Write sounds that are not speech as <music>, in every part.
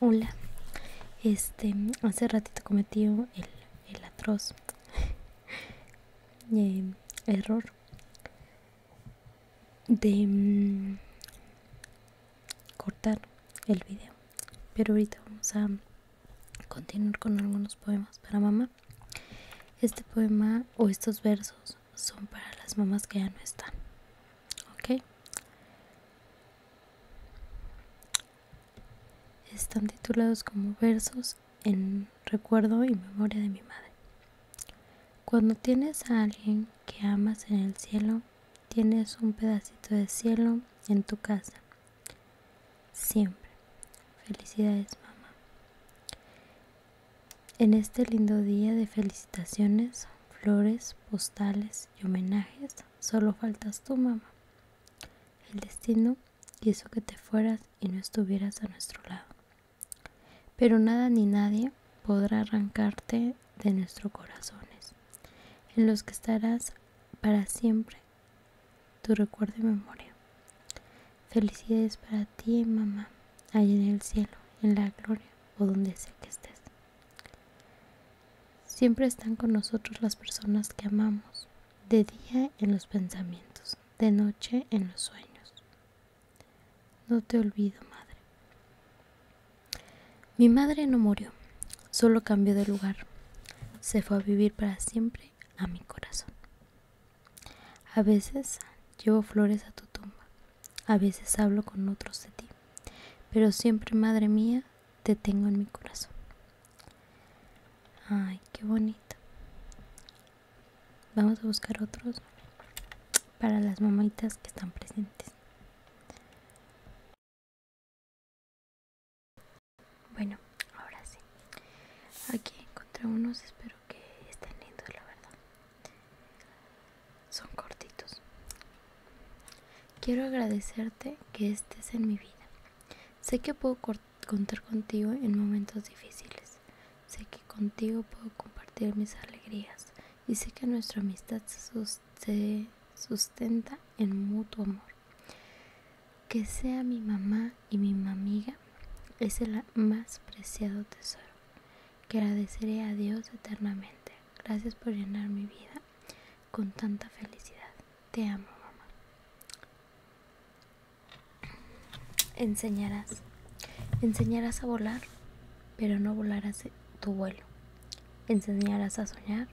Hola, este, hace ratito cometí el, atroz <laughs> em, error de mm, cortar el video, pero ahorita vamos a continuar con algunos poemas para mamá. Este poema o estos versos son para las mamás que ya no están. ¿Ok? Están titulados como versos en recuerdo y memoria de mi madre. Cuando tienes a alguien que amas en el cielo, tienes un pedacito de cielo en tu casa. Siempre. Felicidades, mamá. En este lindo día de felicitaciones, flores, postales y homenajes, solo faltas tú, mamá. El destino quiso que te fueras y no estuvieras a nuestro lado. Pero nada ni nadie podrá arrancarte de nuestros corazones, en los que estarás para siempre tu recuerdo y memoria. Felicidades para ti, mamá. Allí en el cielo, en la gloria o donde sea que estés. Siempre están con nosotros las personas que amamos, de día en los pensamientos, de noche en los sueños. No te olvido, madre. Mi madre no murió, solo cambió de lugar. Se fue a vivir para siempre a mi corazón. A veces llevo flores a tu tumba, a veces hablo con otros de ti, pero siempre, madre mía, te tengo en mi corazón. Ay, qué bonito. Vamos a buscar otros para las mamitas que están presentes. Bueno, ahora sí. Aquí encontré unos, espero que estén lindos, la verdad. Son cortitos. Quiero agradecerte que estés en mi vida. Sé que puedo contar contigo en momentos difíciles. Sé que contigo puedo compartir mis alegrías. Y sé que nuestra amistad se sustenta en mutuo amor. Que sea mi mamá y mi mamiga es el más preciado tesoro que agradeceré a Dios eternamente. Gracias por llenar mi vida con tanta felicidad. Te amo, mamá. Enseñarás. Enseñarás a volar, pero no volarás tu vuelo. Enseñarás a soñar,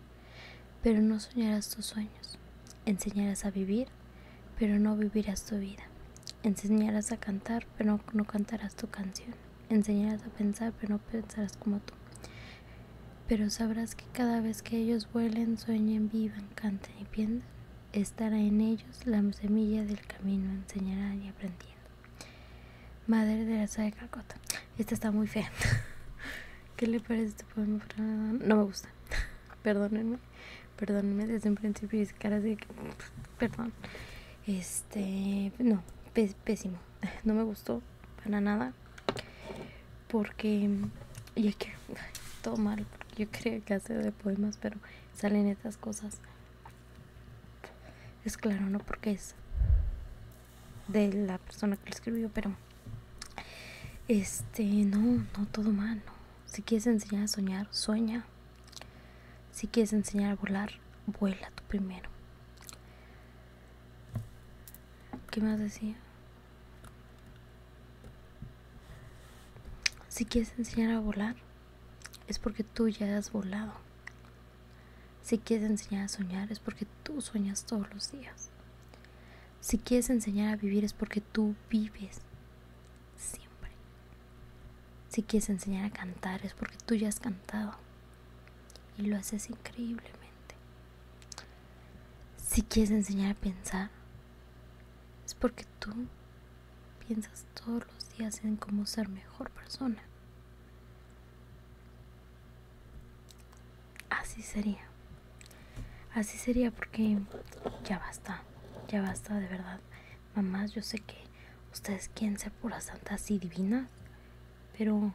pero no soñarás tus sueños. Enseñarás a vivir pero no vivirás tu vida. Enseñarás a cantar, pero no cantarás tu canción. Enseñarás a pensar, pero no pensarás como tú. Pero sabrás que cada vez que ellos vuelen, sueñen, vivan, canten y piensen, estará en ellos la semilla del camino, enseñarán y aprendiendo. Madre de la de Calcota. Esta está muy fea. <laughs> ¿Qué le parece este poema? No me gusta. <laughs> Perdónenme perdónenme desde un principio caras de perdón. Este, no, pésimo. No me gustó para nada. Porque y es que todo mal. Yo que hace de poemas, pero salen estas cosas. Es claro, no porque es de la persona que lo escribió, pero este, no, no todo mal, no. Si quieres enseñar a soñar, sueña. Si quieres enseñar a volar, vuela tú primero. ¿Qué más decía? Si quieres enseñar a volar, es porque tú ya has volado. Si quieres enseñar a soñar, es porque tú sueñas todos los días. Si quieres enseñar a vivir es porque tú vives siempre. Si quieres enseñar a cantar es porque tú ya has cantado y lo haces increíblemente. Si quieres enseñar a pensar es porque tú piensas todos los días en cómo ser mejor persona así sería. Así sería porque ya basta, ya basta de verdad. Mamás, yo sé que ustedes quieren ser puras santas y divinas, pero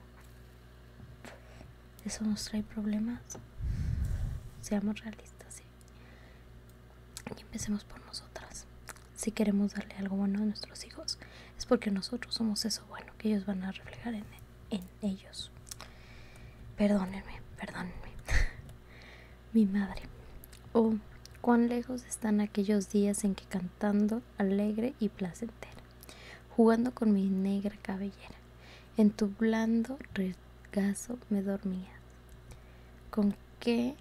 eso nos trae problemas. Seamos realistas, Y empecemos por nosotras. Si queremos darle algo bueno a nuestros hijos, es porque nosotros somos eso bueno que ellos van a reflejar en, en ellos. Perdónenme, perdónenme. <laughs> Mi madre. Oh, cuán lejos están aquellos días en que cantando alegre y placentera, jugando con mi negra cabellera, en tu blando regazo me dormía. Con qué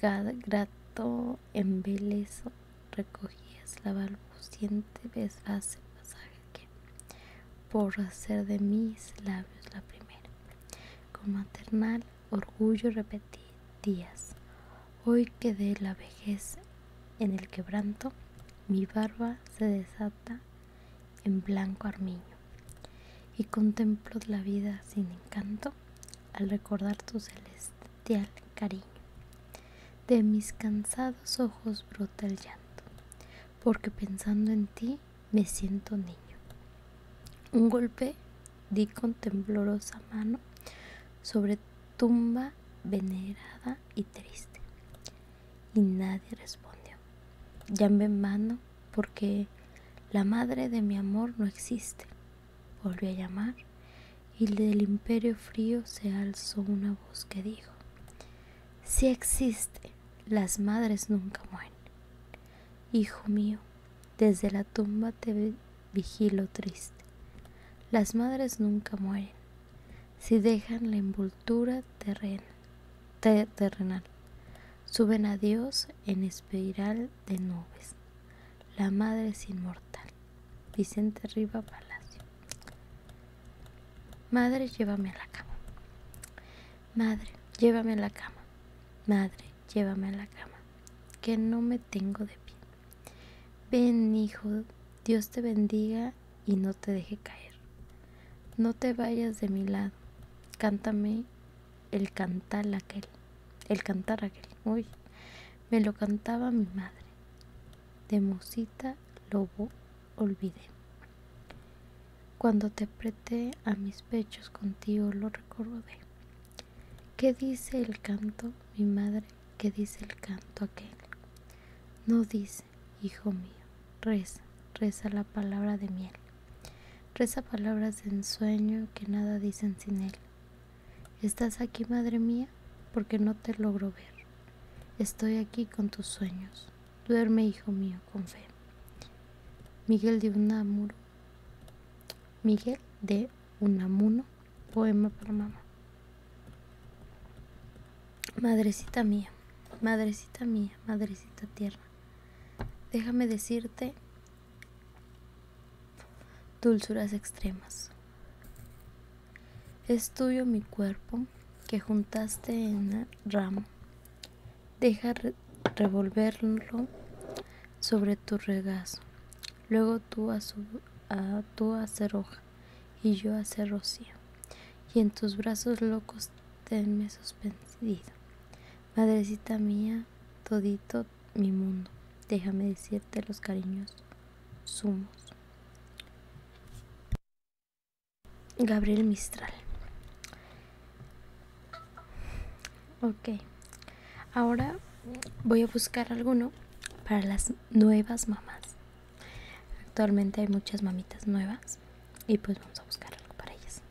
grato embeleso recogías la balbuciente hace pasaje por hacer de mis labios la primera. Con maternal orgullo repetí días. Hoy que de la vejez en el quebranto, mi barba se desata en blanco armiño y contemplo la vida sin encanto al recordar tu celestial cariño. De mis cansados ojos brota el llanto, porque pensando en ti me siento niño. Un golpe di con temblorosa mano sobre tumba venerada y triste, y nadie respondió. Llamé en vano porque la madre de mi amor no existe. Volvió a llamar y del imperio frío se alzó una voz que dijo, si existe, las madres nunca mueren. Hijo mío, desde la tumba te vigilo triste. Las madres nunca mueren. Si dejan la envoltura terrena, terrenal, suben a Dios en espiral de nubes. La madre es inmortal. Vicente Riva Palacio. Madre, llévame a la cama. Madre, llévame a la cama. Madre, llévame a la cama. Que no me tengo de pie. Ven, hijo, Dios te bendiga y no te deje caer. No te vayas de mi lado. Cántame el cantar aquel. El cantar aquel. Uy, me lo cantaba mi madre de Lobo olvidé. Cuando te apreté a mis pechos contigo lo recordé. ¿Qué dice el canto, mi madre? ¿Qué dice el canto aquel? No dice, hijo mío, reza, reza la palabra de miel. Reza palabras de ensueño que nada dicen sin él. Estás aquí, madre mía, porque no te logro ver. Estoy aquí con tus sueños. Duerme, hijo mío, con fe. Miguel de Unamuno. Miguel de Unamuno, poema para mamá. Madrecita mía, madrecita mía, madrecita tierra. déjame decirte Dulzuras extremas. Es tuyo mi cuerpo que juntaste en ramo. Deja revolverlo sobre tu regazo. Luego tú a, hoja y yo a rocío. Y en tus brazos locos tenme suspendido. Madrecita mía, todito mi mundo. Déjame decirte los cariños sumos. Gabriel Mistral. Ok. Ahora voy a buscar alguno para las nuevas mamás. Actualmente hay muchas mamitas nuevas y pues vamos a buscar algo para ellas.